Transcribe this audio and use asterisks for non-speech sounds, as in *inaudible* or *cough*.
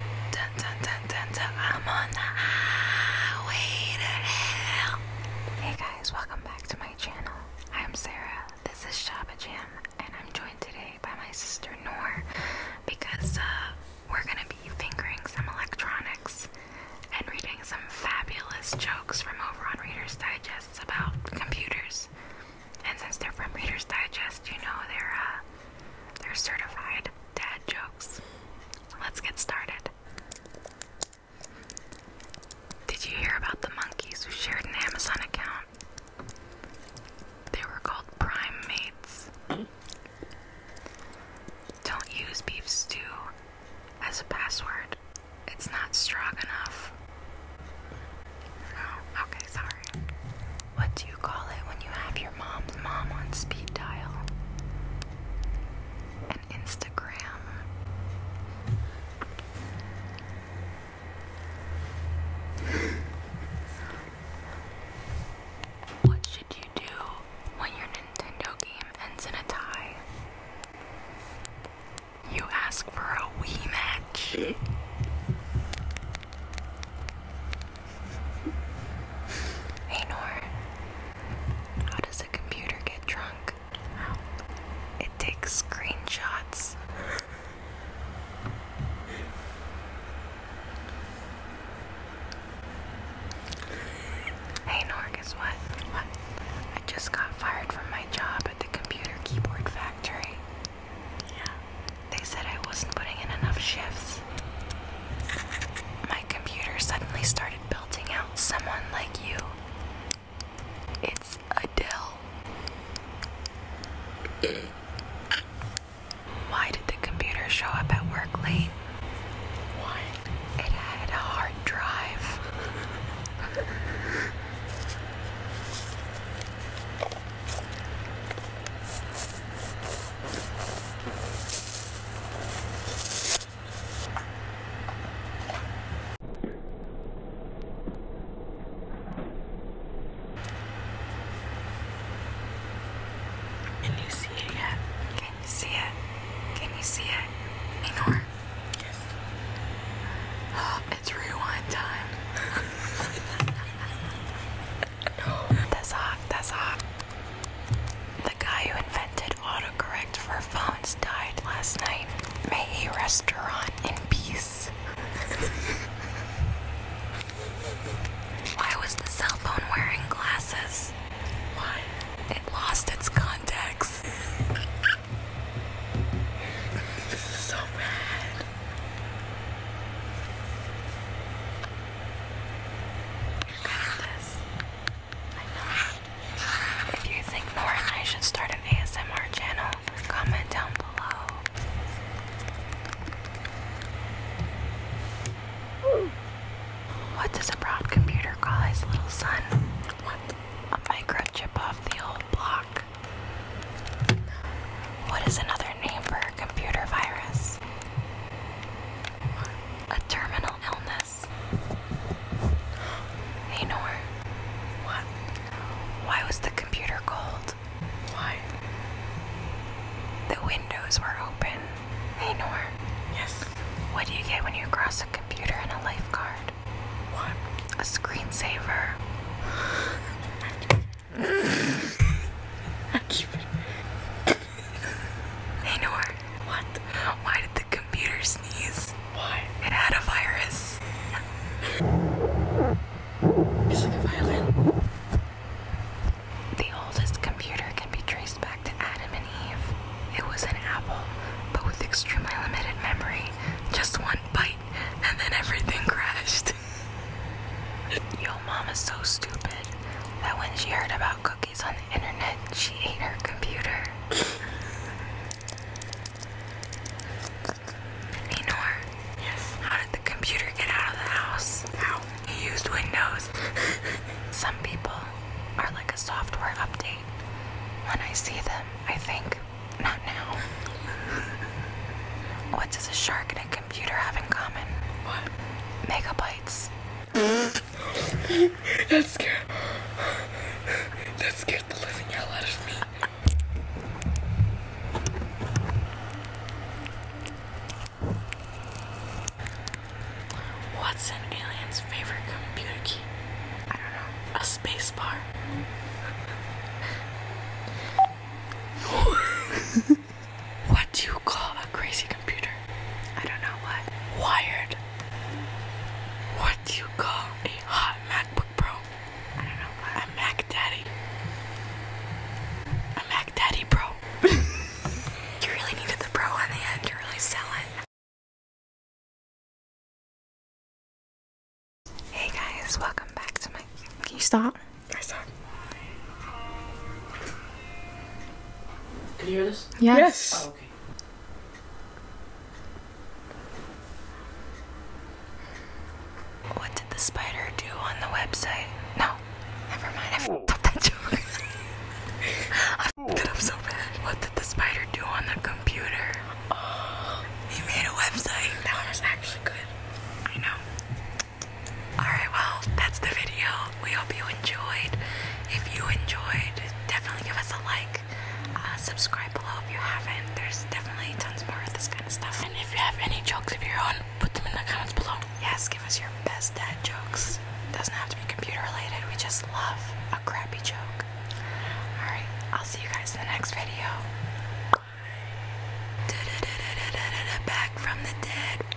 Hey guys, welcome back to my channel. I'm Sarah. This is Shaba and I'm joined today by my sister Nor, because uh, we're gonna be fingering some electronics and reading some fabulous jokes from over on Reader's Digest about computers. And since they're from Reader's Digest, you know they're uh, they're certified dad jokes. Let's get started. Did you hear about the monkeys who shared an Amazon account? They were called prime mates. Don't use beef stew as a password. It's not strong enough. Oh, okay, sorry what do you call it when you have your mom's mom on speed dial? An Instagram. What should you do when your Nintendo game ends in a tie? You ask for a Wii match. Hey Nor, how does a computer get drunk? It takes screenshots. hey Nor, guess what? What? I just got fired from my job at the computer keyboard factory. Yeah. They said I wasn't putting in enough shifts. My computer suddenly started belting out someone like you. It's Adele. Why did the computer show up at work late? Why? It had a hard drive. *laughs* Can you see it yet? Can you see it? Can you see it? Minor. Yes. Oh, *gasps* it's rewind time. *laughs* That's hot. That's hot. The guy who invented autocorrect for phones died last night. May he restaurant in peace. Why was the cell phone wearing glasses? Why? It lost its contacts. this is so bad. If you think Nora and I should start an ASMR channel, comment down below. What does a broad computer call his little son? A microchip off the old block. What is another neighbor? computer virus, a terminal illness. Nanor. What? Why was the computer cold? Why? The windows were open. Hey, Nor. Yes. What do you get when you cross a computer and a lifeguard? What? A screensaver. *laughs* I keep hey, *laughs* Noor. What? Why did the computer sneeze? Why? It had a virus. it's like a violin. The oldest computer can be traced back to Adam and Eve. It was an apple, but with extremely limited memory. Just one bite, and then everything crashed. *laughs* Yo, is so stupid that when she heard about cookies on the internet, she ate her computer. Minor, yes. How did the computer get out of the house? How? You used Windows. Some people are like a software update. When I see them, I think, not now. what does a shark and a computer have in common? What? Make up a *laughs* That's scary. That scared the living hell out of me. What's an alien's favorite computer key? I don't know. A space *laughs* What do you call a crazy computer? I don't know what. Wired. What do you call a hot MacBook Pro? I don't know what. A Mac Daddy. A Mac Daddy Pro. *laughs* you really needed the Pro on the end. You really sell it. Hey guys, welcome back to my. Can you stop? I suck. Can you hear this? Yes. Oh, okay. What did the spider do on the website? No, never mind. I fed up that joke. *laughs* I fed so bad. What did the spider do on the computer? Oh, he made a website. That one was actually good. I know. Alright, well, that's the video. We hope you enjoyed. If you enjoyed, definitely give us a like. Uh, subscribe below if you haven't. There's definitely tons more of this kind of stuff. And if you have any jokes of your own, put them in the comments below. Yes, give us your best dad jokes. Doesn't have to be computer related. We just love a crappy joke. Alright, I'll see you guys in the next video. Back from the dead.